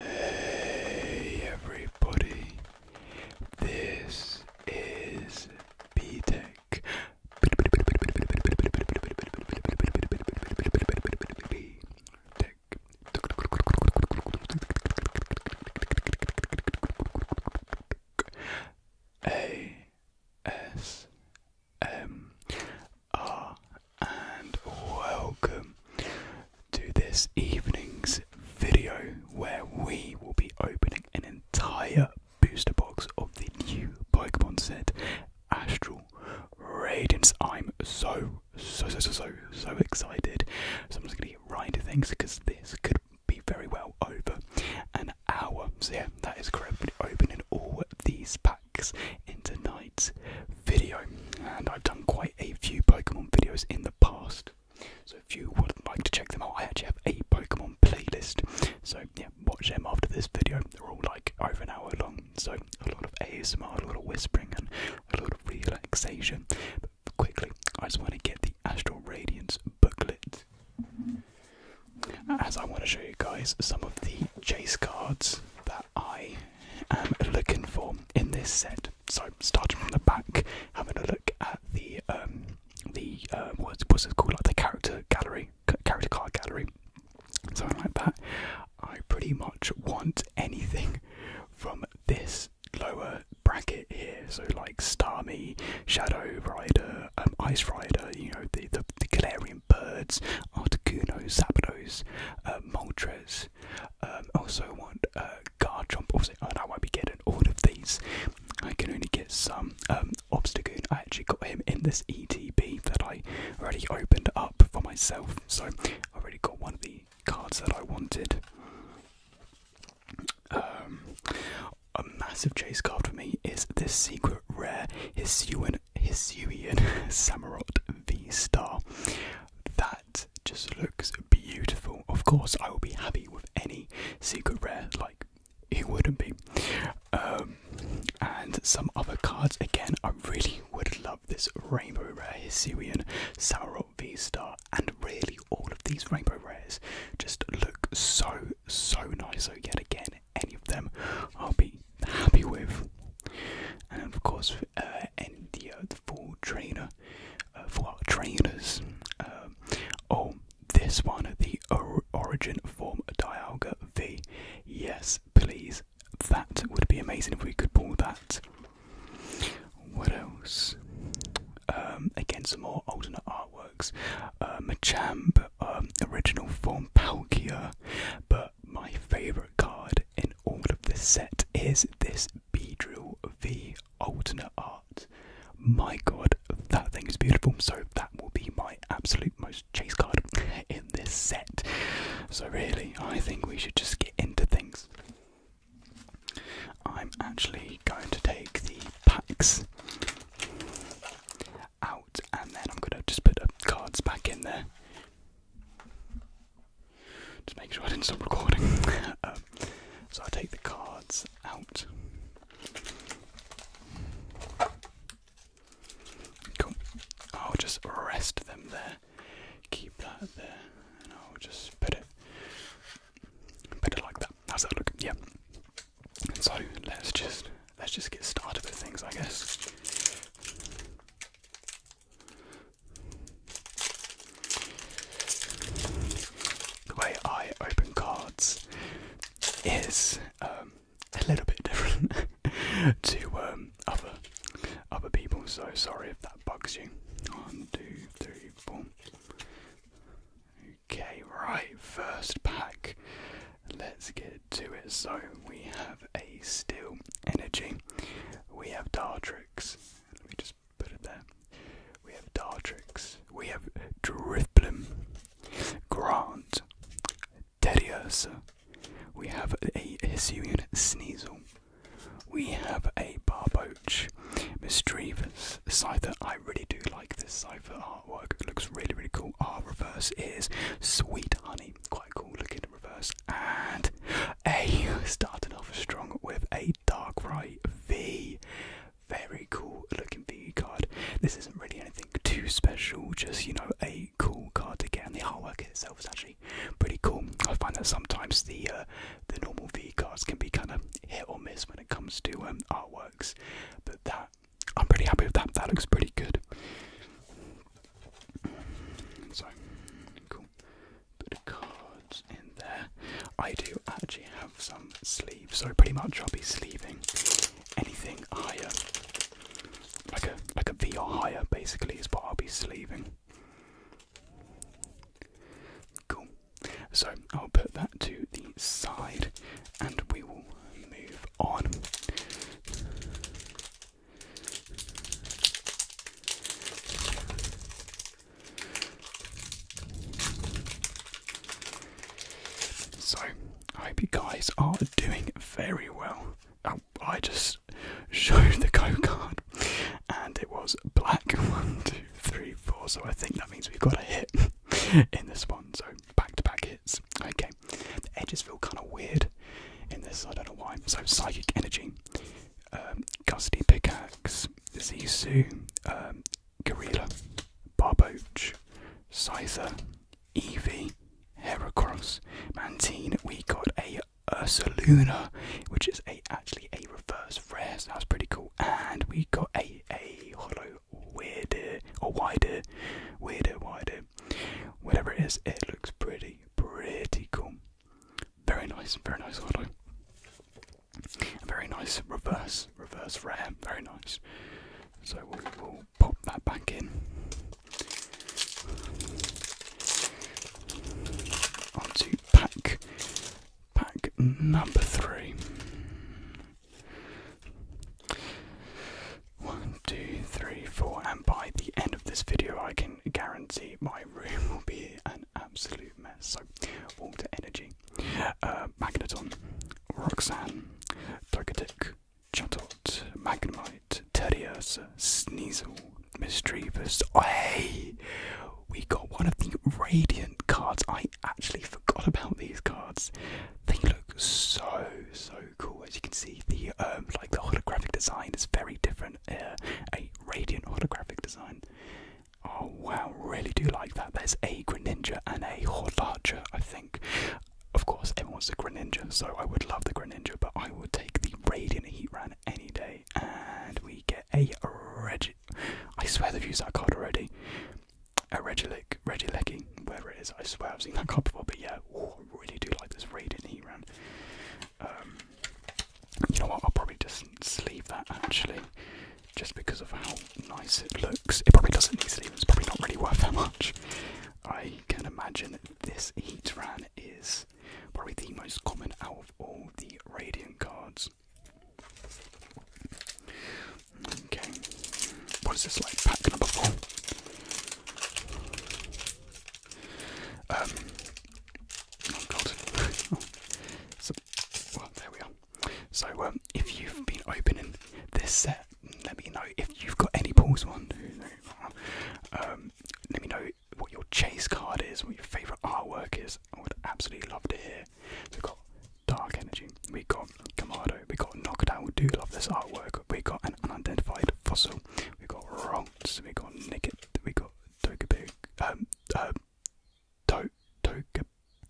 Hey everybody, this is B Tech. B Tech. A S M R and welcome to this evening's video where we will be opening an entire booster box of the new Pokemon set Astral Radiance. I'm so, so, so, so, so, excited. So I'm just going to get right into things because this could be very well over an hour. So, yeah, that is correct. opening all these packs in tonight's video, and I've done quite a few Pokemon videos in the past. So if you would like to check them out, I actually have a Pokemon playlist. So yeah, watch them after this video. They're all like over an hour long. So a lot of ASMR, a lot of whispering and a lot of relaxation. But quickly, I just want to get the Astral Radiance booklet. As I want to show you guys some of the chase cards that I am looking for in this set so starting from the back, having a look at the um, the uh, what's, it called, like the character gallery, character card gallery, something like that. I pretty much want anything from this lower bracket here, so like Starmie, Shadow Rider, um, Ice Rider, you know the the, the Galarian birds, Articuno, Zapdos, uh, Moltres. Um, also want uh, Garchomp. Obviously, oh, I won't be getting all of these. I can only get some. Um, Obstagoon. I actually got him in this ETB that I already opened up for myself. So I already got one of the cards that I wanted. Um, a massive chase card for me is this secret rare Hisuian Hisuian Samurott V Star just looks beautiful. Of course, I will be happy with any secret rare, like it wouldn't be? Um, and some other cards again. I really would love this rainbow rare Hisuian, Samarot V Star, and really all of these rainbow rares just look so so nice. So yet again, any of them I'll be happy with. And of course, uh, and uh, the, full trainer uh, for trainers. oh, this one, the origin form Dialga V. Yes, please. That would be amazing if we could pull that. What else? Um, again, some more alternate artworks. Uh, Machamp, um, original form Palkia, but my favourite card in all of this set is this B drill V alternate art. My god, that thing is beautiful. So that will be my absolute most chase card in this set. So really, I think we should just get into things. I'm actually going to take the packs out and then I'm going to just put the cards back in there. Just make sure I didn't stop recording. Um, so I take the cards out. I'll just rest them there. Keep that there, and I'll just put it, put it like that. How's that look? Yeah. So let's just let's just get started with things, I guess. The way I open cards is um, a little bit different to um, other other people, so sorry if that bugs you. One, two, three, four. Okay, right, first pack. Let's get to it. So we have a Steel Energy, we have Dartrix. Let me just just put We have Dartrix, we have Drifblim, Grant, Teddy we have a Hisuian Sneasel, we have a Barbouch. Barboach, Misdreavus, Cypher. I really do like this Cypher artwork, it looks really, really cool. Our reverse is Sweet Honey, quite cool looking reverse. And A starting off strong with a dark right V. Very cool looking V card. This isn't really anything too special, just you know, a cool card to get. And the artwork itself is actually pretty cool. I find that sometimes the uh, the normal V cards can be kind of hit or miss when it comes to um, artworks, but that I'm pretty happy with that. That looks pretty good. So cool bit of cards in there. I do actually have some sleeves, so pretty much I'll be sleeving anything higher, like a like a V or higher, basically is what I'll be sleeving. Cool. So I'll put that to the side, and we will move on. So, I hope you guys are doing very well. Oh, I just showed the code card and it was black. One, two, three, four. So, I think that means we've got a hit in this one. So, back to back hits. Okay. The edges feel kind of weird in this, I don't know why. So, psychic energy um, Gusty Pickaxe, Zisu, um, Gorilla, Barbouch, Scyther, Eevee, Heracross, Mantine. We got a Ursaluna, which is a actually a reverse rare, so that's pretty cool. And we got a a hollow weirder or wider, weirder, wider, whatever it is. It looks pretty, pretty cool. Very nice, very nice very nice reverse, reverse RAM, very nice. So we'll, we'll pop that back in. On to pack, pack number three. One, two, three, four, and by the end of this video, I can guarantee my room will be an absolute mess. So, Warm to Energy, uh, Magneton, Roxanne, Togetic, Chatot, Magnemite, Terriersa, Sneasel, Misdreavus. hey! We got one of the Radiant cards. I actually forgot about these cards. They look so, so cool. As you can see, the um, like the holographic design is very different. Uh, Radiant autographic design. Oh wow, really do like that. There's a Greninja and a Horlarcher, I think. Of course, everyone wants the Greninja, so I would love the Greninja, but I would take the Radiant Heatran any day. And we get a Regi. I swear they've used that card already. A Regieleki, Regieleki, wherever it is. I swear I've seen that card before, but yeah, really do like this Radiant Heatran. Um, you know what? I'll probably just leave that actually, just because of how nice it looks. It probably doesn't need to leave. It's probably not really worth that much. I can imagine this Heatran is probably the most common out of all the Radiant cards. Okay, what is this like? Pack number four. Um, Oh, so, well, there we are. So, um, if you've been opening this set, let me know if you've got any pause One, two, three, four. Um, let me know what your chase card is, what your favourite artwork is. I would absolutely love to hear. we've got Dark Energy, we've got Kamado, we've got Knockdown, we do love this artwork, we've got an unidentified fossil, we've got Ronks, we've got Nicket, we've got Togepi, um, uh, to, Toge,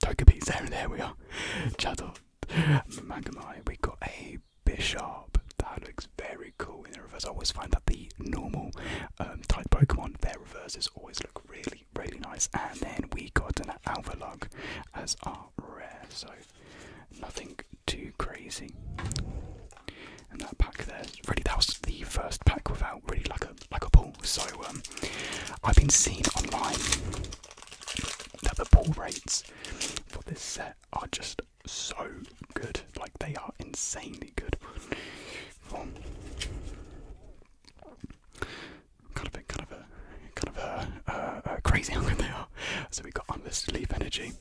Togepi, there, there we are, Chatot, Magnemite, we got a Bishop, that looks very cool in the reverse, I always find that the normal um, type Pokemon, their reverses always look really, really nice, and then we got an Alphalug as our rare, so nothing too crazy. And that pack there, really, that was the first pack without really like a like a pull. So um, I've been seeing online that the pull rates for this set are just so good. Like they are insanely good. kind of a kind of a kind of a, uh, crazy how good they are. So we got on this leaf energy.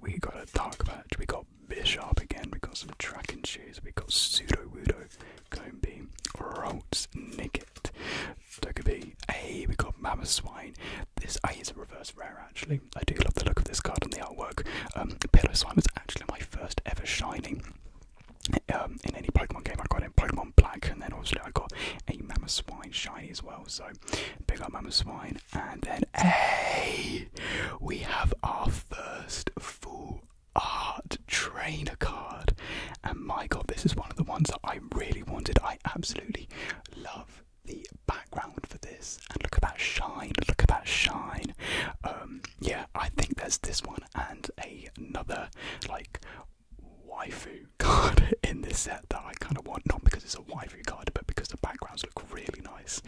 We got a dark patch. We got got Bishop again, we got some tracking shoes, we got Pseudo Wudo, Combi, Rolts, Nicket, Togepi, A, we got Mammoth Swine. This A is a reverse rare actually. I do love the look of this card and the artwork. Um, Pillow Swine was actually my first ever shiny um, in any Pokemon game, I got in Pokemon Black, and then obviously I got a Mammoth Swine shiny as well. So big up Mammoth Swine, and then a we have our first full art trainer card. And my god, this is one of the ones that I really wanted. I absolutely love the background for this. And look at that shine, look at that shine. Um, yeah, I think there's this one and another like Wifu card in this set that I kind of want, not because it's a Wifu card, but because the backgrounds look really nice,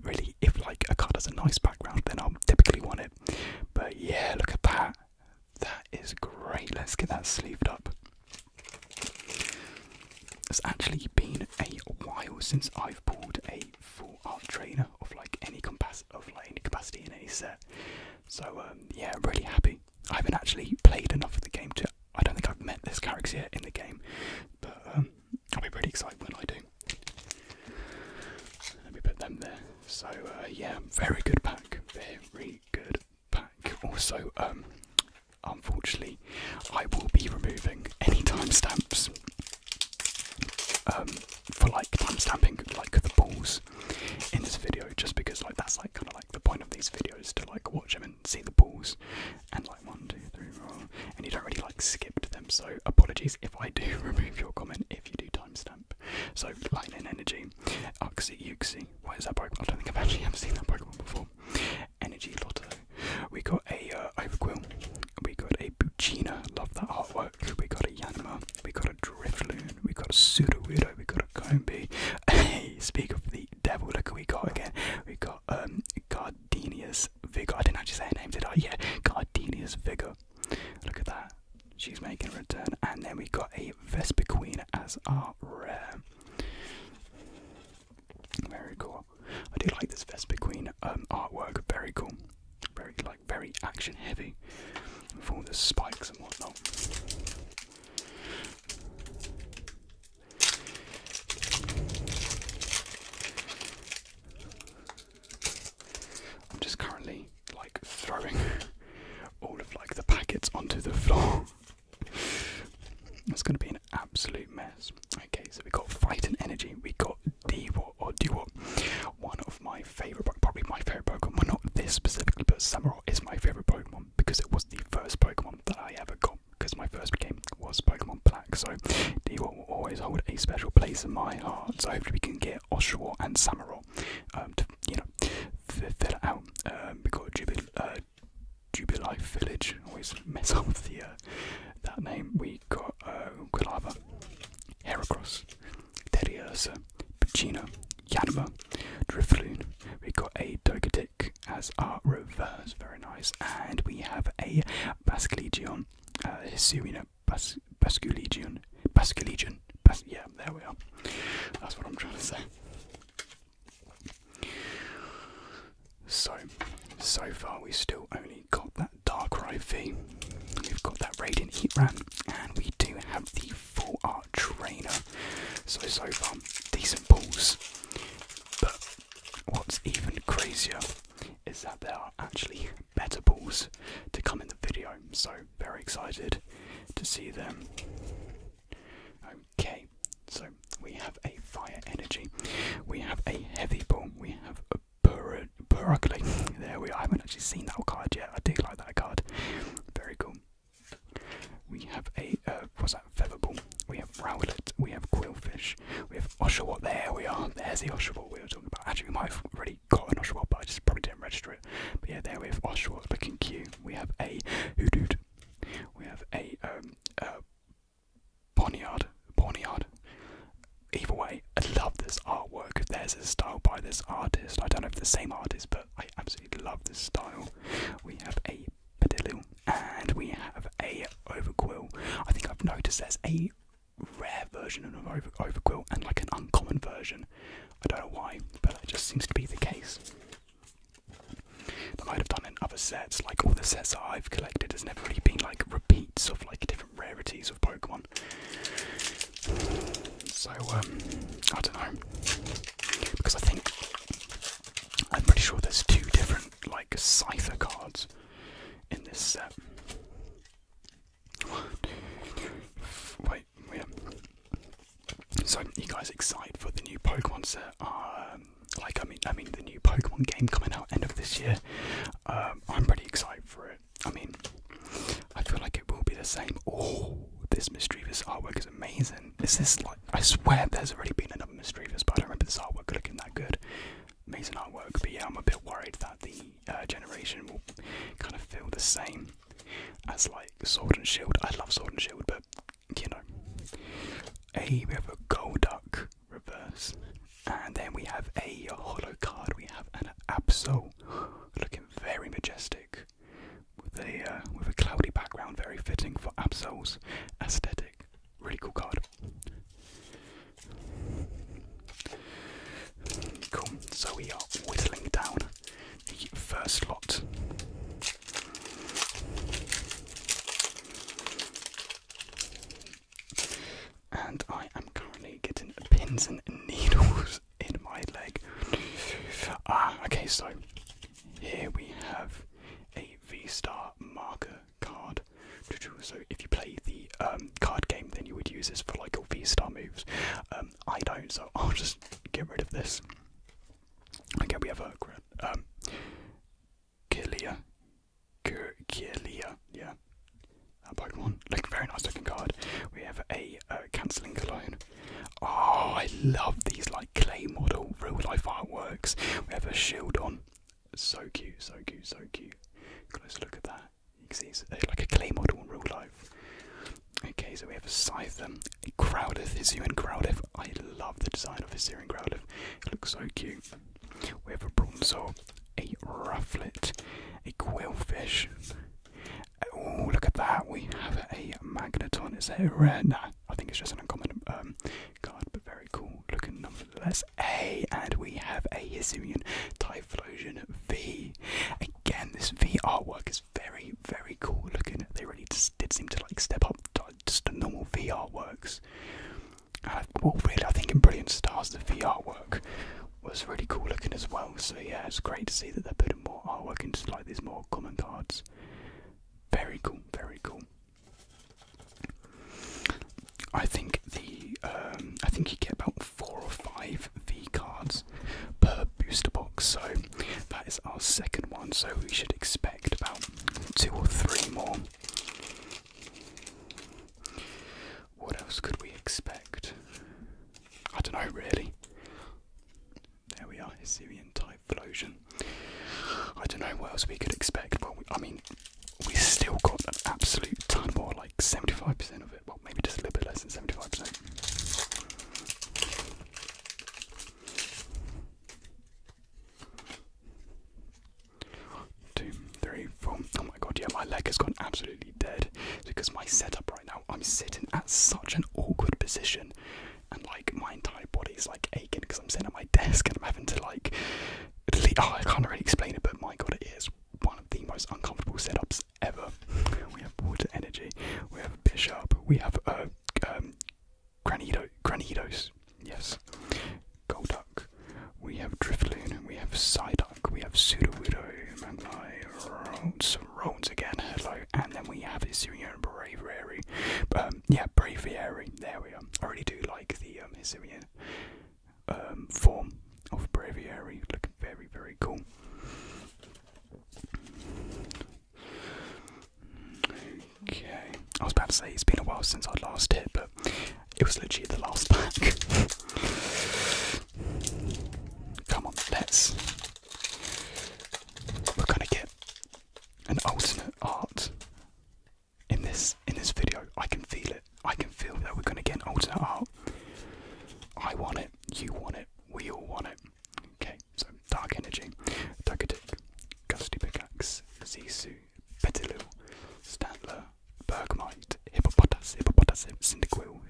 really if like a card has a nice background, then I'll typically want it. But yeah, look at that. That is great. Let's get that sleeved up. It's actually been a while since I've pulled a full art trainer of like any compass of like any capacity in any set. So um, yeah, really happy. I haven't actually played enough of the game to. I don't think I've met this character yet in the game, but um, I'll be pretty excited when I do. Let me put them there. So uh, yeah, very good pack. Very good pack. Also, um, unfortunately, I will be removing any timestamps um, for like timestamping, like the balls in this video, just because like that's like kind of like the point of these videos to like watch them and see the balls. And like one, two, three, four, and you don't really like skip to them. So apologies if I do remove your comment if you do timestamp. So lightning energy, Uxie Uxie. What is that Pokemon? I don't think I've actually ever seen that Pokemon before. Energy Lotto. We got a uh, Overquill. We got a Buccina. Love that artwork. We got a Yanma. We got a Drifloon. We got a Sudowoodo. We got a Combi. speak of the devil. Look who we got again. We got um Gardenias Vigor. I didn't actually say her name, did I? Yeah, Gardenia's Vigor. Look at that. She's making a return. And then we got a Vespa Queen as our rare. Very cool. I do like this Vespa Queen um, artwork. Very cool. Very like very action heavy with all the spikes and whatnot. I'm just currently like throwing all of like the packets onto the floor. it's gonna be an absolute mess. Okay, so we got fight and energy. We got Dewot or Dewot. One of my favorite, probably my favorite Pokemon. Well, not this specifically, but Samurott is my favorite Pokemon because it was the first Pokemon that I ever got. Because my first game was Pokemon Black, so d will always hold a special place in my heart. So hopefully we can get Oshawott and Samurott um, to, you know, fill it out. Um, we've got Jubil, uh, Jubilife Village, always mess up with the, uh, that name. we got uh, Quilava, Heracross, Terriersa, Puccino, Yanma, Drifloon. We've got a Dogatic as our reverse, very nice. And we have a Basclegion, uh, Bas Basculegion. yeah, there we are. That's what I'm trying to say. So, so far we still only got that Darkrai V, we've got that Raiden Heatran, and we do have the Full Art Trainer. So, so far, decent balls. But what's even crazier is that there are actually better balls to come in the video, so very excited to see them. Okay, so we have a fire energy, we have a heavy ball, we have a burr Burugly. There we are. I haven't actually seen that card yet. I do like that card. Very cool. We have a uh, what's that feather ball? We have Rowlet. We have Quillfish. We have Oshawa. There we are. There's the Oshawa we were talking about. Actually, we might have already got an Oshawa, but I just probably didn't register it. But yeah, there we have Oshawa looking cute. We have a hooded. We have a um, uh, Bonnyard. Bonnyard. Either way, I love this artwork. there's a style by this artist, I don't know if the same artist, but I absolutely love this style. We have a Padillu and we have a Overquill. I think I've noticed there's a rare version of an over overquilt and like an uncommon version. I don't know why, but it just seems to be the case. i might have done in other sets, like all the sets that I've collected has never really been like repeats of like different rarities of Pokemon. So um, I don't know because I think I'm pretty sure there's two different like cipher cards in this set. Wait, yeah. So, you guys excited for the new Pokemon set? Um, like, I mean, I mean, the new Pokemon game coming out end of this year. Um, I'm pretty excited for it. I mean, I feel like it will be the same. Oh, this mischievous artwork is amazing. Is this like? I swear, there's already been another mischievous, but I don't remember this artwork looking that good. Amazing artwork, but yeah, I'm a bit worried that the uh, generation will kind of feel the same as like Sword and Shield. I love Sword and Shield, but you know. A we have a Golduck reverse, and then we have a hollow card. We have an Absol, looking very majestic, with a uh, with a cloudy background, very fitting for Absol's aesthetic. Really cool card. Cool, so we are whittling down the first lot. And I am currently getting pins and needles in my leg. Ah, okay, so here we have a V Star marker card. So if you play the um, card game, then you would use this for like your V-star moves. Um, I don't, so I'll just get rid of this. Okay, we have a um, Kilia, Kilia, yeah, that Pokemon. Like very nice looking card. We have a uh, cancelling clone. Oh, I love these like clay model real life artworks. We have a shield on. So cute, so cute, so cute. Close look at that. You can see it's like a clay model in real life. Okay, so we have a Scyther, um, a Crowdith, Hisuian Crowdith. I love the design of Hisuian Crowdith. It looks so cute. We have a bronze Bronzor, a Rufflet, a Quillfish. Oh, look at that. We have a Magneton. Is that a rare? No, I think it's just an uncommon um, card, but very cool looking nonetheless. A, and we have a Hisuian type. Typhlosion V. Again, this V artwork is very, very cool looking. They really just did seem to like step up just a normal V works. Uh, well, really, I think in Brilliant Stars, the V artwork was really cool looking as well. So yeah, it's great to see that they're putting more artwork into like these more common cards. Very cool, very cool. I think the um, I think you get about four or five V cards per booster box. So that is our second one. So we should expect about two or three more. What else could we expect? I don't know really. There we are, Assyrian type Flosion. I don't know what else we could expect. Well, I mean, we still got an absolute ton more, like 75% of it. Well, maybe just a little bit less than 75%. Two, three, four. Oh my god, yeah, my leg has gone absolutely dead because my setup right now, I'm sitting at such an awkward position and like my entire body's like aching because I'm sitting at my desk and I'm having to like. Oh, I can't really explain it, but my god, it is one of the most uncomfortable setups ever. We have water energy, we have bishop, we have a uh, um, granito, granitos, yes, golduck, we have driftloon, we have psyduck, we have pseudowudo, manly, rones, rones again, hello, and then we have Hisuian braviary, um, yeah, braviary, there we are. I really do like the um, um, form of Breviary, looking very, very cool. Okay, I was about to say it's been a while since I last hit, but it was literally the last pack. Come on, let's. We're gonna get an alternate art in this in this video. I can feel it. I can feel that we're gonna get older. I want it. You want it. We all want it. Okay, so Dark Energy, Dugadik, Gusty Pickaxe, Zisu, Petilou, Stantler, Bergmite, Hippopotas, Hippopotas, Quill.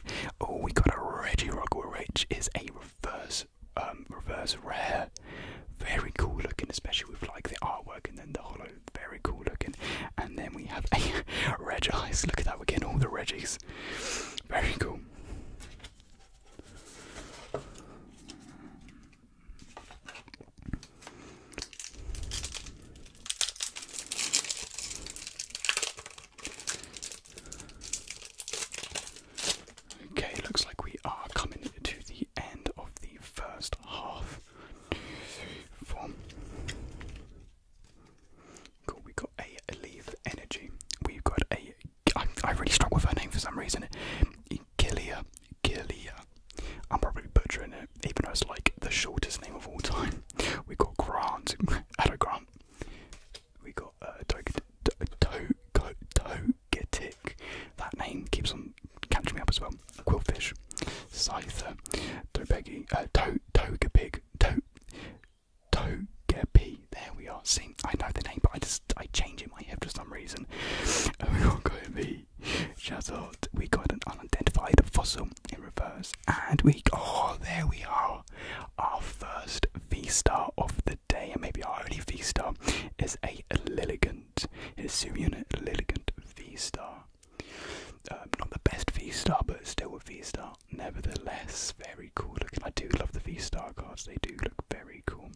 Oh, we got a Regirock, which is a reverse, um, reverse rare. Very cool looking, especially with like the artwork and then the hollow very cool looking. And then we have a reg Look at that, we're getting all the reggies. Very cool. Okay, looks like we are coming to the end of the first half Cool, we got a Leaf Energy. We've got a. I, I really struggle with her name for some reason. Gilia. Gilia. I'm probably butchering it, even though it's like the shortest name of all time. We got Grant. Hello, Grant. We got a uh, Togetic. That name keeps on catching me up as well. Quillfish. Scyther. Tobegi. Uh, to Togepi. To, Togepi. There we are. I know the name, but I just I change it my head for some reason. And we got Goembi. Shazot. We got an unidentified fossil in reverse. And we. Oh, there we are. Our first V star of the day, and maybe our only V star, is a Lilligant. It is Sumune Lilligant V star. Um, not the best V-Star, but still a V-Star. Nevertheless, very cool looking. I do love the V-Star cards, they do look very cool.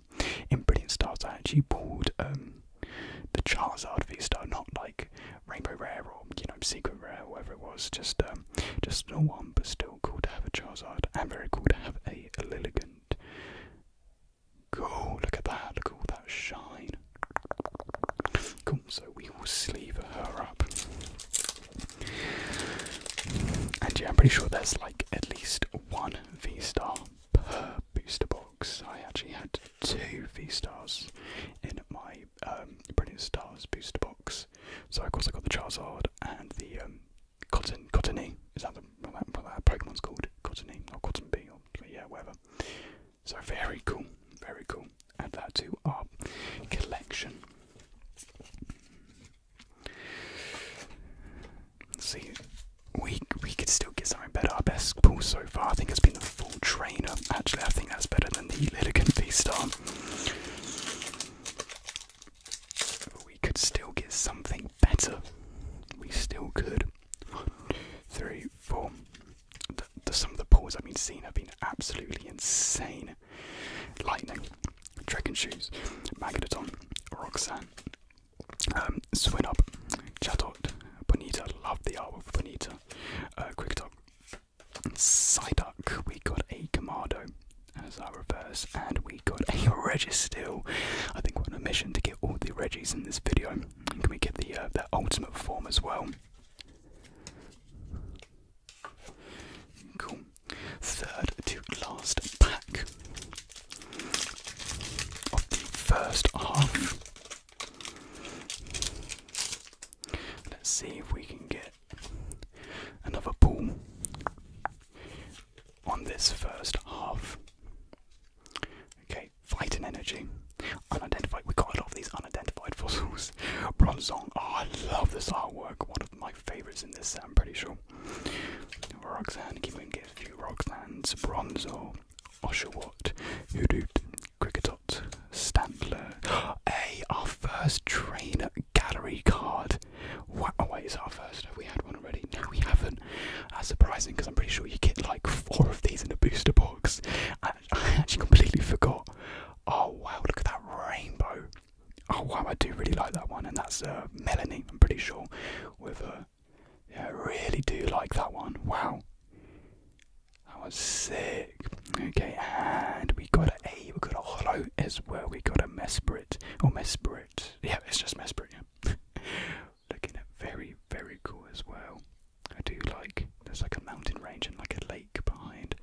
In Brilliant Stars, I actually pulled um, the Charizard V-Star, not like Rainbow Rare or, you know, Secret Rare or whatever it was. Just um, just not one, but still cool to have a Charizard, and very cool to have a, Lilligant. Cool, look at that, look at all that shine. Cool, so we will sleeve her up. And yeah, I'm pretty sure there's like at least one V star per booster box. I actually had two V stars in my um, Brilliant Stars booster box. So of course I got the Charizard and the um, Cotton Cottony. Is that the, what that, Pokemon's called? Cottony or Cotton Bee or yeah, whatever. So very cool, very cool. Add that to our collection. Let's see, we we could still get something better. Our best pull so far, I think, has been the full trainer. Actually, I think that's better than the Lilligan V Star. We could still get something better. We still could. One, two, three, four some of the pulls I've been seeing have been absolutely insane. Lightning, Dragon Shoes, Magneton, Roxanne, um, Swin Up, Chatot, Bonita, love the artwork of Bonita, uh, Quick Talk, Psyduck, we got a Gamado as our reverse, and we got a Registeel. I think we're on a mission to get all the Reggies in this video. Can we get the uh, ultimate form as well? Cool. Third to last pack of the first half. Let's see if we can get another pull on this first half. Okay, fighting energy. Unidentified. We got a lot of these unidentified fossils. Bronzong. Oh, I love this artwork. One of my favorites in this set, I'm pretty sure. Roxanne. Keep on getting a few Roxanne's. Bronzo. Oshawott. Hoodoot. Cricketot. Stantler. A. our first trainer gallery card. What? Oh, wait, it's our first? we had one already? No, we haven't. That's surprising because I'm pretty sure you get like four of these in a booster box. I actually completely forgot. Oh wow, look at that rainbow. Oh wow, I do really like that one, and that's uh, Melanie, I'm pretty sure, with a, uh, yeah, really do like that one. Wow. That was sick. Okay, and we got A, we got a hollow as well, we got a Mesprit, or Mesprit. Yeah, it's just Mesprit, yeah. Looking very, very cool as well. I do like there's like a mountain range and like a lake behind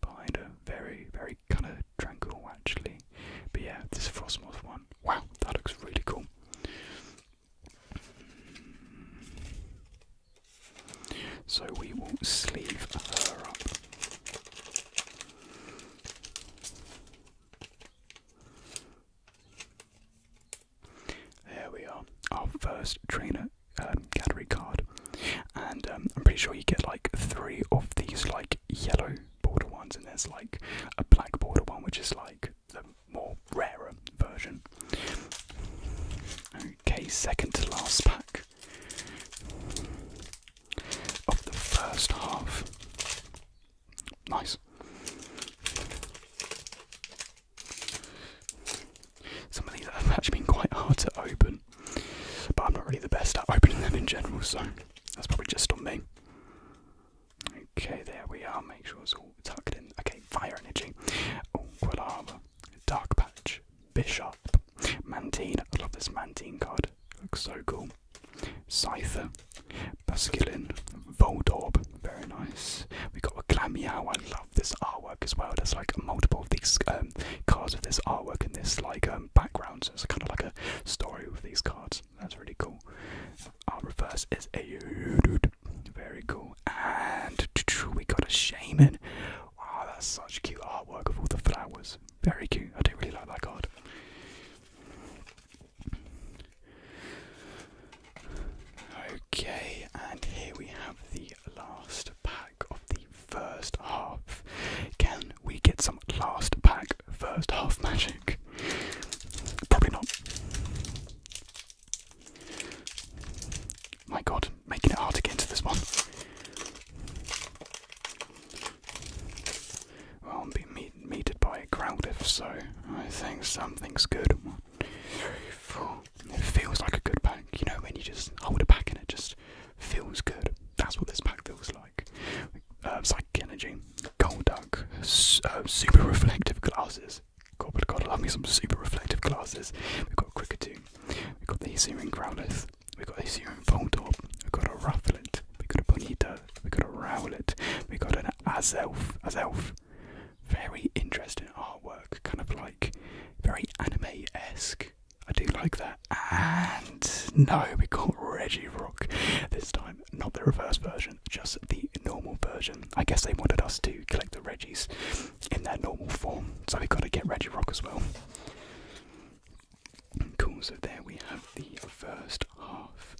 behind a very very kind of tranquil actually. But yeah, this Frostmoth one. Wow, that looks really cool. So we will sleeve her up. There we are, our first trainer um, gallery card, and um, I'm pretty sure you get like three of these like yellow border ones, and there's like a black border one, which is like the more rarer version. Okay, second to last pack of the first half. Nice. Some of these have actually been quite hard to open, but I'm not really the best at opening them in general, so that's probably just on me. Okay, there we are. Make sure it's all tucked in. Okay, fire energy. Oh, Quilava. Dark Patch. Bishop. Mantine. I love this Mantine card. Looks so cool. Cipher, Basculin. Voldorb. Very nice. We got a Glamiao. I love this artwork as well. There's like multiple of these um, cards with this artwork and this like um, background. So it's kind of like a story with these cards. That's really cool. Our reverse is a very cool. And we got a shaman. Wow, that's such cute artwork of all the flowers. Very cute. I do really like that card. Okay, and here we have the last last pack of the first half. Can we get some last pack, first half magic? Probably not. My god, making it hard to get into this one. i will be meet meted by a crowd if so. I think something's good. One, two, three, four. It feels like a good pack, you know, when you just hold a pack and it just feels good. That's what this pack feels like. Uh, psychic energy, gold duck, uh, super reflective glasses. God, but God, I love me some super reflective glasses. We've got Cricketoo, we've got the Assyrian Growlithe, we've got the Assyrian Voltorb, we've got a Rufflet, we've got a Bonita, we've got a Rowlet, we've got an Azelf, Azelf, very interesting artwork, kind of like very anime esque. I do like that. And no, we got Reggie Rock this time. Not the reverse version, just the normal version. I guess they wanted us to collect the Reggies in their normal form, so we've got to get Reggie Rock as well. Cool, so there we have the first half,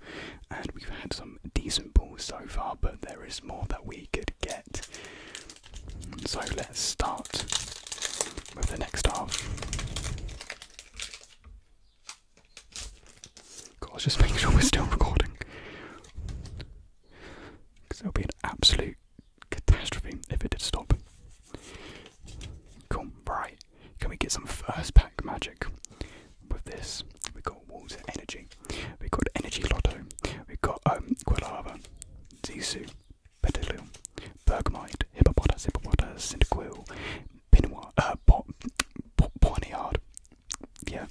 and we've had some decent balls so far, but there is more that we could get. So let's start with the next half. God, just make sure we're still recording. Because it would be an absolute catastrophe if it did stop. Cool, right. Can we get some first pack magic with this? We got Walls Energy, we got Energy Lotto, we got um Zisu, Petaloom, Bergamite, Hippopotamus, Hippopotamus, Cyndaquil, Pinoir, uh, po po Ponyard, yeah,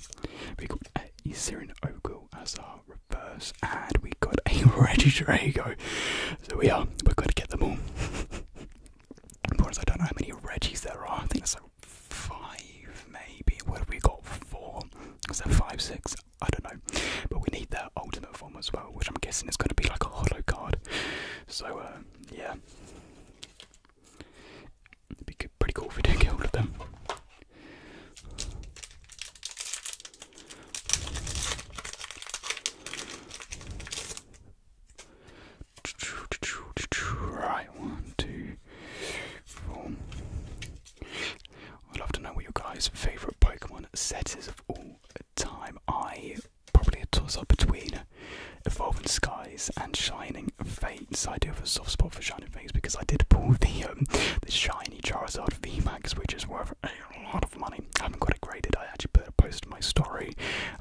we got uh, Isirin Ogul as our reverse, and we got a Reggie Regidrago, so we are, we're going to get them all. course, I don't know how many Reggies there are, I think it's like five maybe, Where we got, four, so five, six, I don't know. But we need their ultimate form as well, which I'm guessing is going to be like a hollow card. So, uh, yeah. be pretty cool if we do get all of them. Right, one, two, four, I'd love to know what your guys' favourite Pokemon set is of all time. I probably a toss up between Evolving Skies and Shining Fates. I do have a soft spot for Shining Fates because I did pull the um, the shiny Charizard VMAX, which is worth a lot of money. I haven't got it graded. I actually put a post in my story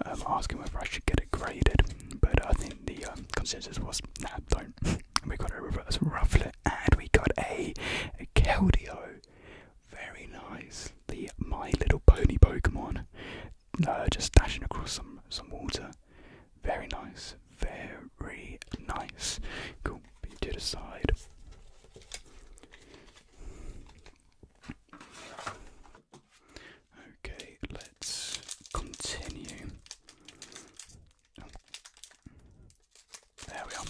um, asking whether I should get it graded, but I think the um, consensus was nah, don't. we got a reverse ruffler and we got a, Keldeo. Very nice. The My Little Pony Pokemon. Uh, just dashing across some, some water. Very nice. Very nice. Cool. Put you to the side. Okay, let's continue. There we are.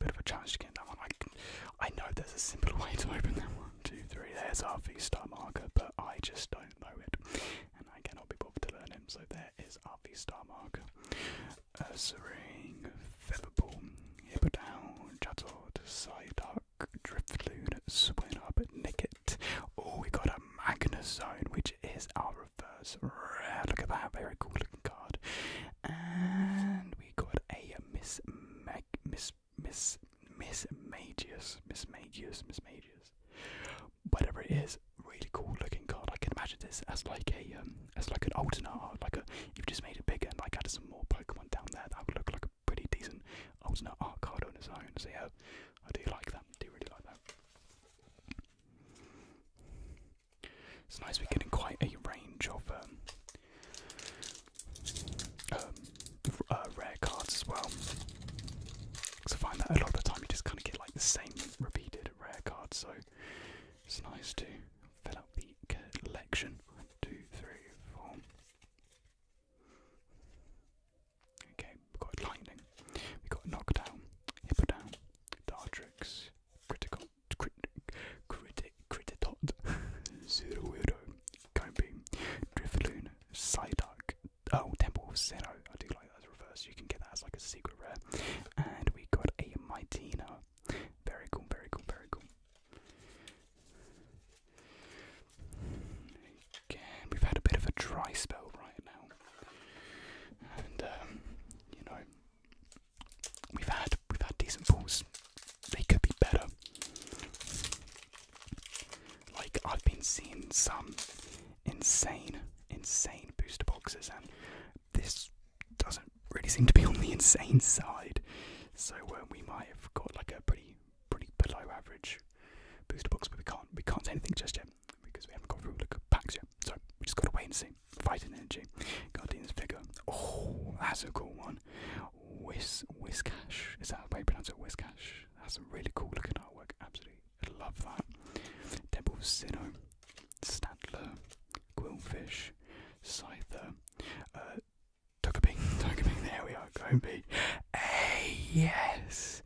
Bit of a challenge to get that one. I, I know there's a simple way to open that one, two, three. There's our V star marker, but I just don't know it, and I cannot be bothered to learn it. So there is our V star marker. Ursaring, Featherball, Hippodown, Juttle, Psyduck, Driftloon, Swinub, Nicket, Oh, we got a Magnezone, which is our reverse rare. Look at that, very cool looking card. And we got a Miss Mag Miss Miss Miss Magius. Whatever it is, really cool looking card. I can imagine this as like a um, as like an alternate art, like a you've just made it bigger and like added some more Pokemon down there that would look like a pretty decent alternate art card on its own. So yeah, I do like that do really like that. It's nice we're getting quite a range of um, um, uh, rare cards as well. Because I find that a lot of the time you just kind of get like the same repeated rare cards, so it's nice to fill up the collection. One, two, three, four. Okay, we've got lightning, we got knockdown, hippodown, dartrix, critical, crit, critic, crititot, zero weirdo, cone beam, drifloon, psyduck, oh, temple of I do like that as reverse, you can get that as like a secret rare, and we got a mightina, very cool, very cool, very cool. Again, we've had a bit of a dry spell right now, and um, you know, we've had we've had decent balls. They could be better. Like I've been seeing some insane, insane booster boxes, and this doesn't really seem to be on the insane side. So uh, we might have got like a pretty, pretty below average booster box, but we can't we can't say anything just yet because we haven't gone through the packs yet. So we just gotta wait and see. Fighting energy. Guardian's figure. Oh, that's a cool one. Whis Whiskash. Is that how you pronounce it? Whiskash. That's a really cool looking artwork. Absolutely love that. Devil Sinnoh. Statler. Quillfish. Scyther. Uh Tokabing. Tokabing, there we are, Gobi. Hey yes!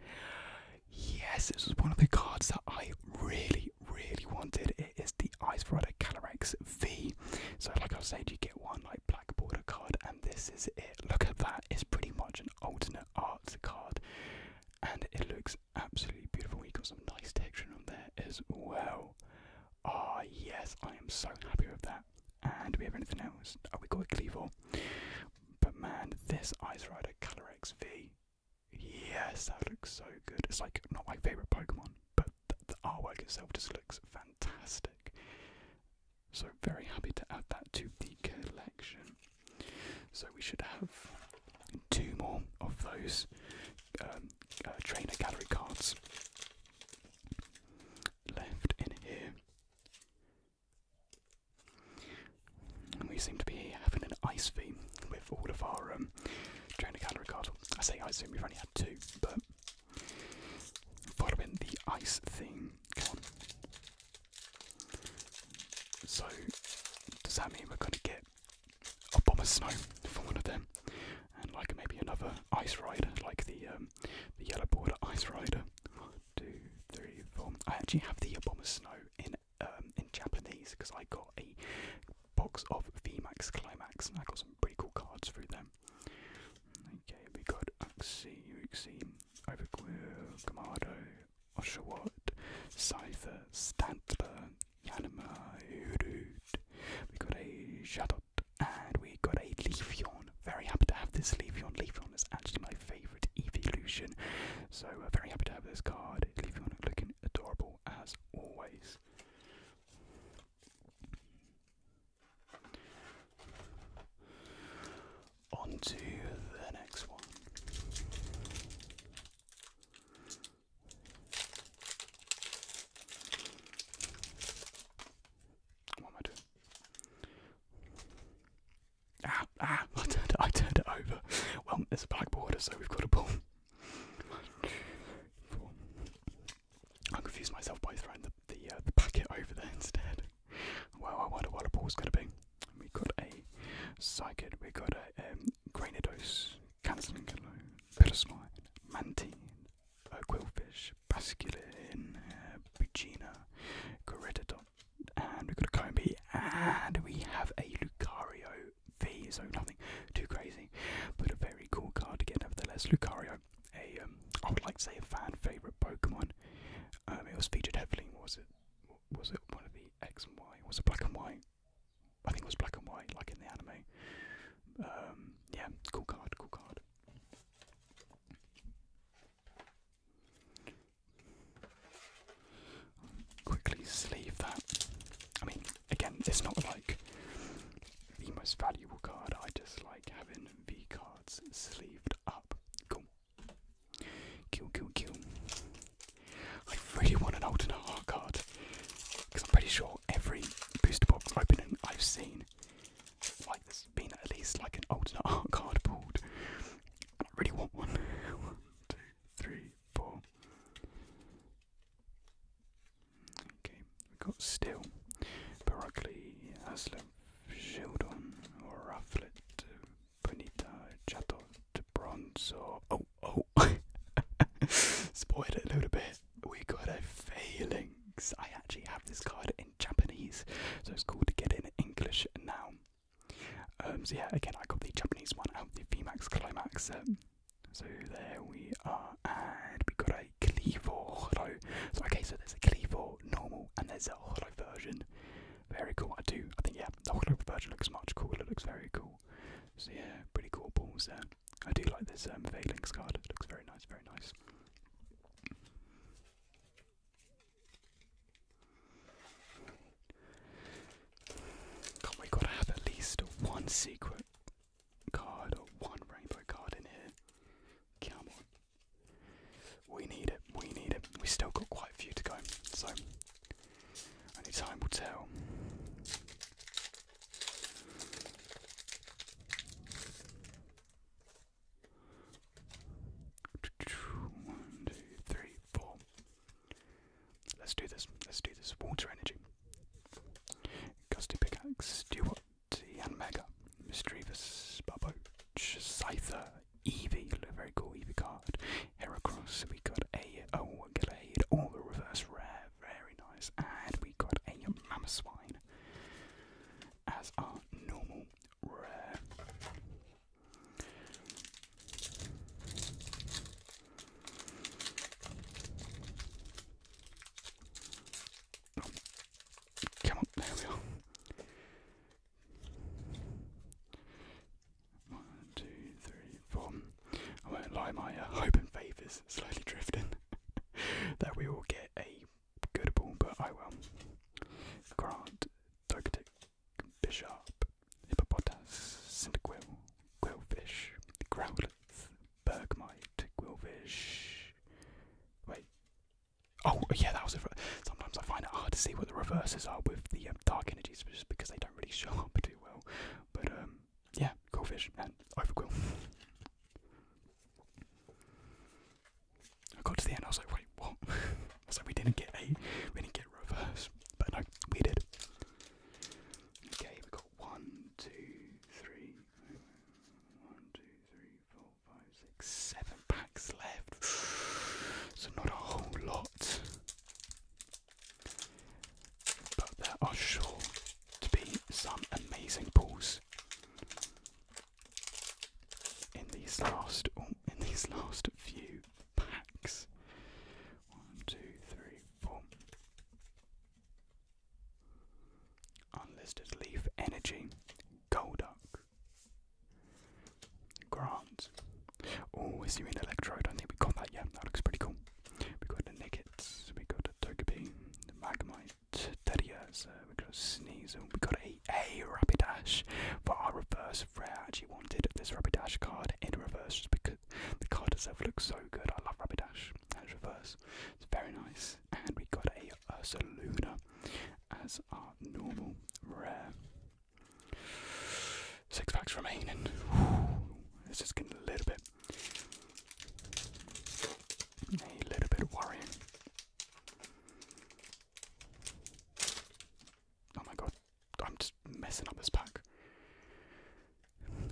Yes, this is one of the cards that I really, really wanted. It is the Ice Rider Calyrex V. So, like I was saying, you get one like black border card, and this is it. Look at that, it's pretty much an alternate art card, and it looks absolutely beautiful. You got some nice texture on there as well. Ah, yes, I am so happy with that. And do we have anything else? Oh, we got a Cleavor. But man, this Ice Rider Color XV, yes, that looks so good. It's like not my favorite Pokemon, but the, artwork itself just looks fantastic. So, very happy to add that to the collection. So, we should have two more of those um, uh, trainer gallery cards left in here. And we seem to be having an ice theme with all of our um, trainer calorie cards. I say ice theme, we've only had two, but following the ice theme. Come on. So, does that mean we're going to get a bomb of snow from one of them? And like maybe another ice rider, like the um, the yellow border ice rider two, three, four. I actually have the Obama Snow in um, in Japanese because I got a box of VMAX Climax and I got some pretty cool cards through them. Okay, we got Uxie, Uxie, Overclear, Kamado, Oshawott, Cypher, Stantler, Yanima, Urut. We got a Shadot and we got a Leafeon. Very happy to have this Leafeon. Leafeon is actually my favourite. Evolution. So uh, very happy to have this card. It's leaving on looking adorable as always. On to the next one. Ah, ah, I turned, it, I turned it over. Well, there's a black border, so we've got a ball. I confused myself by throwing the the, uh, packet over there instead. Well, I wonder what a ball's going to be. We got a Psychic, we got a um, Granados, Cancelincolo, Pilosmine, Mantine, a Quillfish, Basculin, uh, Bugina, and we've got a Combi, and we have a Lucario V, so nothing too crazy, but a very cool card to get nevertheless. Lucario, a um, I would like to say a fan favourite Pokemon. Um, it was featured heavily. Was it? Was it one of the X and Y? Was it black and white? I think it was black and white, like in the anime. Um, yeah, cool card, cool card. Quickly sleeve that. I mean, again, it's not like the most valuable card. I just like having V cards sleeved up. Cool. Kill, kill, I really want an alternate art card because I'm pretty sure every booster box opening I've seen, like, has been at least like an alternate art card pulled. I really want one. one, two, three, four. Okay, we've got Still, Barockley, Haslam, Shieldon, Rufflet, Bonita, Chato, Bronzo. Oh, oh! Spoiled it a little bit. We got a failings. I actually have this card in Japanese, so it's cool to get in English now. Um, so yeah, again, I got the Japanese one out, the VMAX Climax set. Um, so there we are, and we got a Cleavor Holo. So okay, so there's a Cleavor normal, and there's a Holo version. Very cool. I do. I think yeah, the Holo version looks much cooler. It looks very cool. So yeah, pretty cool balls there. I do like this um, Phalanx card. It looks very nice. Very nice. God, we gotta have at least one secret card one rainbow card in here. Come on. We need it, we need it. We still got quite a few to go, so only time will tell. One, two, three, four. Let's do this. Let's do this. Water energy. Gusty Pickaxe, Stewart, and Mega, Mischievous, Bubbo, Scyther, Eevee, very cool Eevee card, Heracross, we got a oh Glade, all the reverse rare, very nice, and we got a Mamoswine as our normal rare. Come on, there we are. One, two, three, four. I won't lie, my hope uh, and faith is slowly drifting that we will get a good ball, but I will. Grant, Dogetic, bishop, hippopotas, cinderquill, quillfish, growlers, bergmite, quillfish. Wait. Oh, yeah, that was a. Sometimes I find it hard to see what the reverses are with the um, dark energies just because they don't really show up too well. But, um, yeah, quillfish and overquill. I got to the end, I was like, wait, what? So we didn't get a, we didn't get reverse, but no, we did. Okay, we have got one, two, three, one, two, three, four, five, six, seven packs left. So not a whole lot. But there are sure to be some amazing pulls in these last, in these last few packs. One, two, three, four. Unlisted Leaf Energy, Golduck, Grant. Oh, is you an Electrode? I think we got that Yeah, That looks pretty cool. We got the Nickets, we got a Togepi, The Magmite, Teddy uh, we got a Sneasel, we got a a Rapidash for our reverse rare. I actually wanted this Rapidash card in reverse just because the card itself looks so good. I love Rapidash as reverse, it's very nice. And we got a Ursa Luna as our normal rare. Six packs remaining. This is getting a little bit, a little bit worrying. Oh my god, I'm just messing up this pack.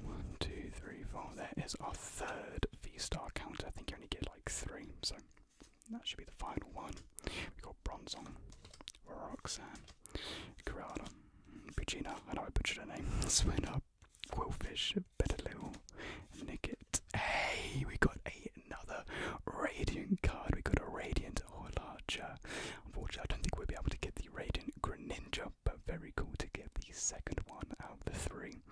One, two, three, four. There is our third V star counter. I think you only get like three, so that should be the final one. We've got Bronzong, Roxanne, Corrada, Puccina. I know I butchered her name. Swinner, Quillfish, Better Little, Nicket. Hey, we got eight another Radiant card. We got a Radiant or oh, larger. Unfortunately, I don't think we'll be able to get the Radiant Greninja, but very cool to get the second one out of the three.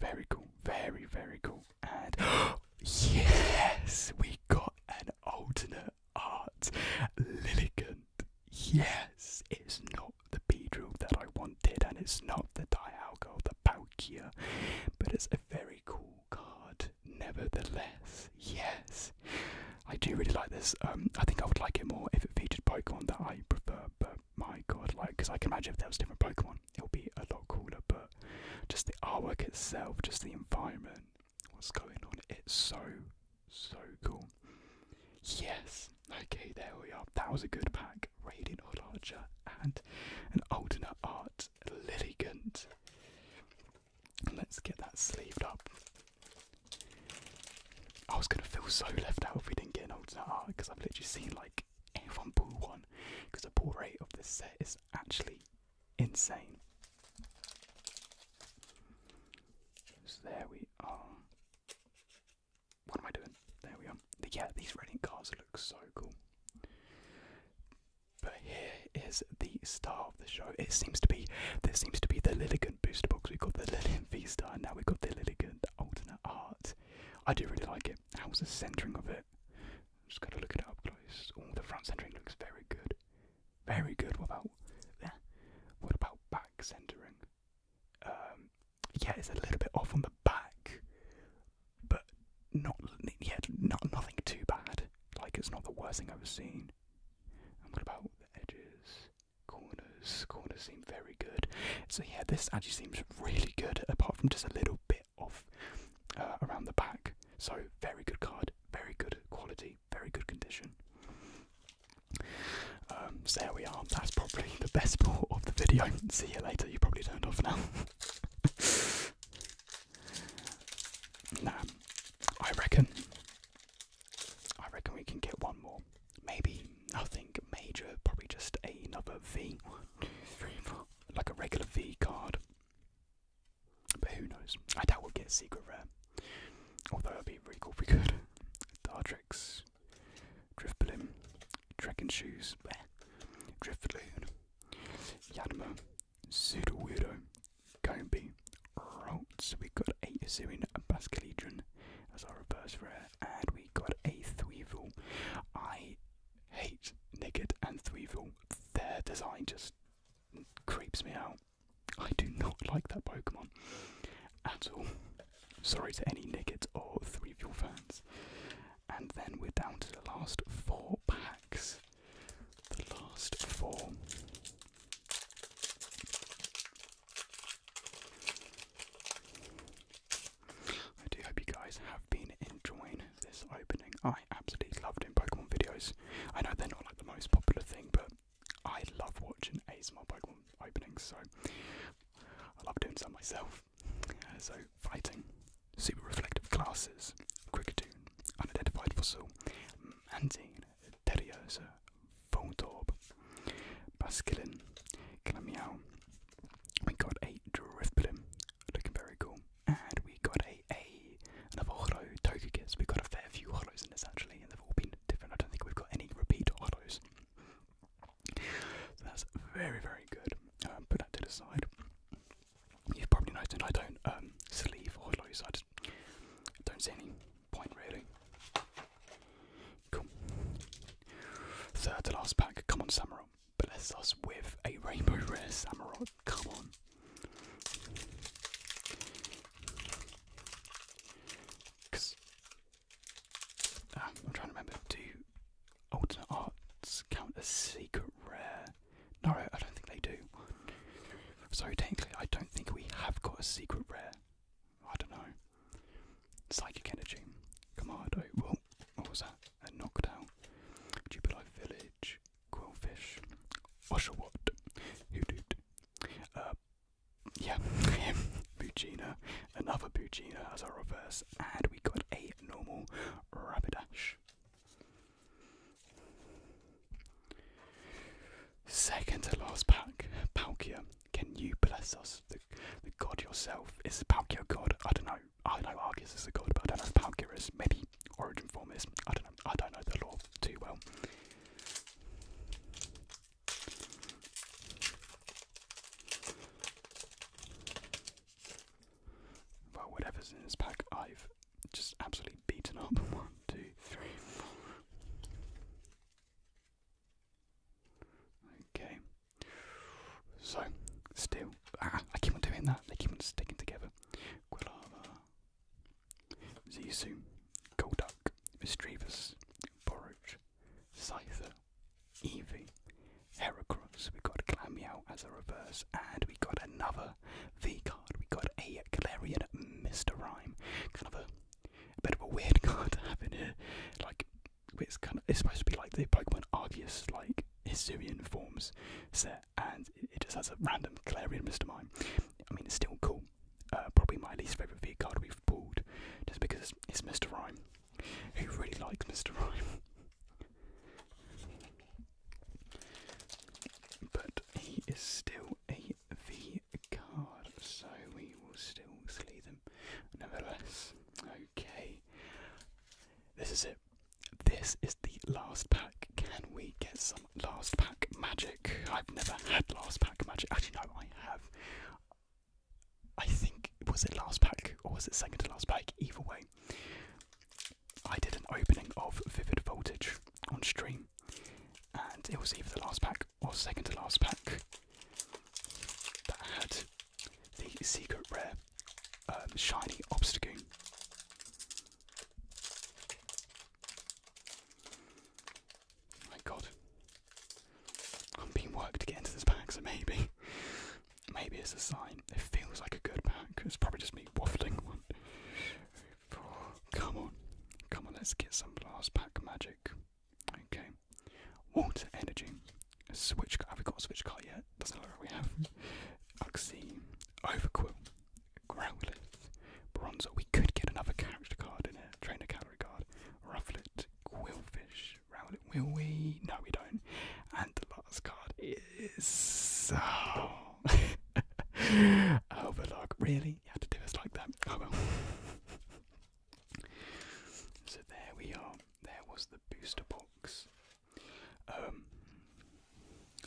Very cool, very, very cool. And yes, we got an alternate art Liligant. Yes, it's not the Beedrill that I wanted, and it's not the Dialga or the Palkia, but it's a very cool card nevertheless. Yes. I do really like this. Um, I think I would like it more if it featured Pokemon that I prefer, but my god, like, because I can imagine if there was different Pokemon, it would be a lot cooler, but just the artwork itself, just the environment, what's going on, it's so, so cool. Yes. Okay, there we are. That was a good pack. Radiant Archer and an alternate art Lilligant. Let's get that sleeved up. I was gonna feel so left out if we didn't get an alternate art because I've literally seen like everyone pull one because the pull rate of this set is actually insane. So there we are. What am I doing? There we are. yeah, these Reading cars look so cool. But here is the star of the show. It seems to be there seems to be the Lilligant booster box. We've got the Lilligant V Star, and now we've got the Lilligant Alternate Art. I do really like it. How was the centering of it? Just gotta look it up close. Oh, the front centering looks very good, very good. What about yeah? What about back centering? Um, yeah, it's a little bit off on the back, but not yeah, not nothing too bad. Like it's not the worst thing I've ever seen. And what about the edges? Corners. Corners seem very good. So yeah, this actually seems really good, apart from just a little bit off uh, around the back. So very good card, very good quality, very good condition. Um, so there we are. That's probably the best part of the video. See you later. You probably turned off now. nah, I reckon. I reckon we can get one more. Maybe nothing major, probably just another V. Like a regular V card. But who knows? I doubt we'll get a secret rare. Although it would be really cool if we could. Dartrix, Driftblim, Trekking Shoes, Driftloon, Yanma, Pseudo-weirdo, Kobe, Ralts. We got a Assyrian Bascaledron as our reverse rare, and we got a Thweevil. I hate Niggard and Thweevil. Their design just creeps me out. I do not like that Pokemon at all. Sorry to any Niggard or Thweevil fans. And then we're down to the last four packs the last four. I do hope you guys have been enjoying this opening. I absolutely love doing Pokemon videos. I know they're not like the most popular thing, but I love watching ASMR Pokemon openings, so I love doing some myself. Uh, so, fighting, super reflective classes, Cricketune, unidentified fossil Anzine, Terriers, Voltorb, Basculin, Glamiao. We got a Driftblim, looking very cool. And we got a, a another hollow Togekiss. We've got a fair few hollows in this actually, and they've all been different. I don't think we've got any repeat hollows. So that's very, very good. Um, put to the side you've probably noticed I don't um, sleeve or loose. I don't see any point really. Cool. Third to last pack. Come on, Samurott. Bless us with a rainbow rare Samurott. Come on. Ah, I'm trying to remember. Do alternate arts count as secret rare? No, I don't think they do. So technically, I don't think we have got a secret rare. I don't know. Psychic Energy, Commando, well, what was that? A Knockdown, Jubilee Village, Quillfish, Oshawott, Hoodoot, uh, yeah, Bugina, another Bugina as a reverse, and we got a normal Rapidash. Second to last pack, Palkia, can you bless us? The, god yourself. Is Palkia a god? I don't know. I know Argus is a god, but I don't know Palkia is. Maybe Origin Form is. I don't know. I don't know the lore too well. Well, whatever's in this pack, I've just absolutely beaten up. One, two, three, four. Okay. So, still. Ah, I keep on doing that. They keep on sticking together. Quilava. Zisu. Golduck. Mischievous. Borage. Scyther. Eevee. Heracross. We got Clammeow as a reverse. And we got another another V card. We got a Clarion Mr. Rhyme. Kind of a, bit of a weird card to have here. Like it's kind of it's supposed to be like the Pokemon Argus like Hisuian forms set and it, just has a random Clarion Mr. Mime. I mean it's still cool. Uh, probably my least favourite V card we've pulled just because it's Mr. Rhyme. Who really likes Mr. Rhyme? But he is still a V card, so we will still sleeve him nevertheless. Okay. This is it. This is the last pack. Can we get some last pack magic? I've never had last pack magic. Actually, no, I have. I think was it last pack or was it second to last pack? Either way, I did an opening of Vivid Voltage on stream, and it was either the last pack or second to last pack that had the secret rare um, shiny Obstagoon. My God, I'm being worked to get into this pack, so maybe, maybe it's a sign. It feels like a good pack. It's probably just me waffling. Come on, come on, let's get some blast pack magic. Okay, water energy. switch Have we got a switch card yet? Doesn't look like we have. Uxie, Overquill, Growlithe, Bronzer. We could get another character card in here. Trainer calorie card. Rufflet, Quillfish, Rowlet. Will we? No, we don't. And the last card is. Oh. oh, really? You had to do us like that? Oh well. so there we are. There was the booster box. Um,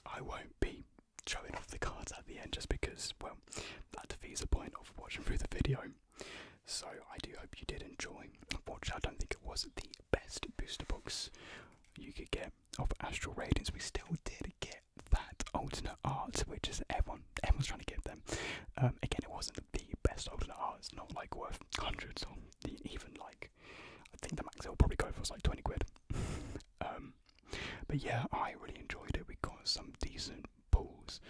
I won't be showing off the cards at the end just because, well, that defeats the point of watching through the video. So I do hope you did enjoy. Unfortunately, I don't think it was the best booster box you could get of Astral Radiance. We still did get that alternate art, which is everyone everyone's trying to get them. Um, again, it wasn't the best alternate art. It's not like worth hundreds or even like I think the max it'll probably go for was like twenty quid. Um, but yeah, I really enjoyed it. We got some decent pulls.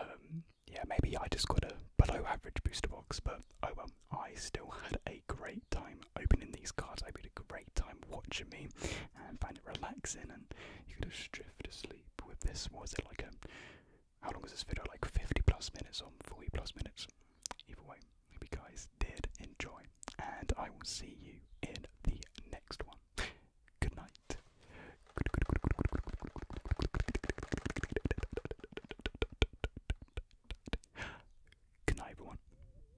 Um, yeah, maybe I just got a below average booster box, but oh well. I still had a great time opening these cards. I had a great time watching me and find it relaxing. And you could have drifted to sleep with this. Was it like a um, how long is this video? Like 50 plus minutes or 40 plus minutes? Either way, maybe guys did enjoy, and I will see you in the next one. Good night. Good good good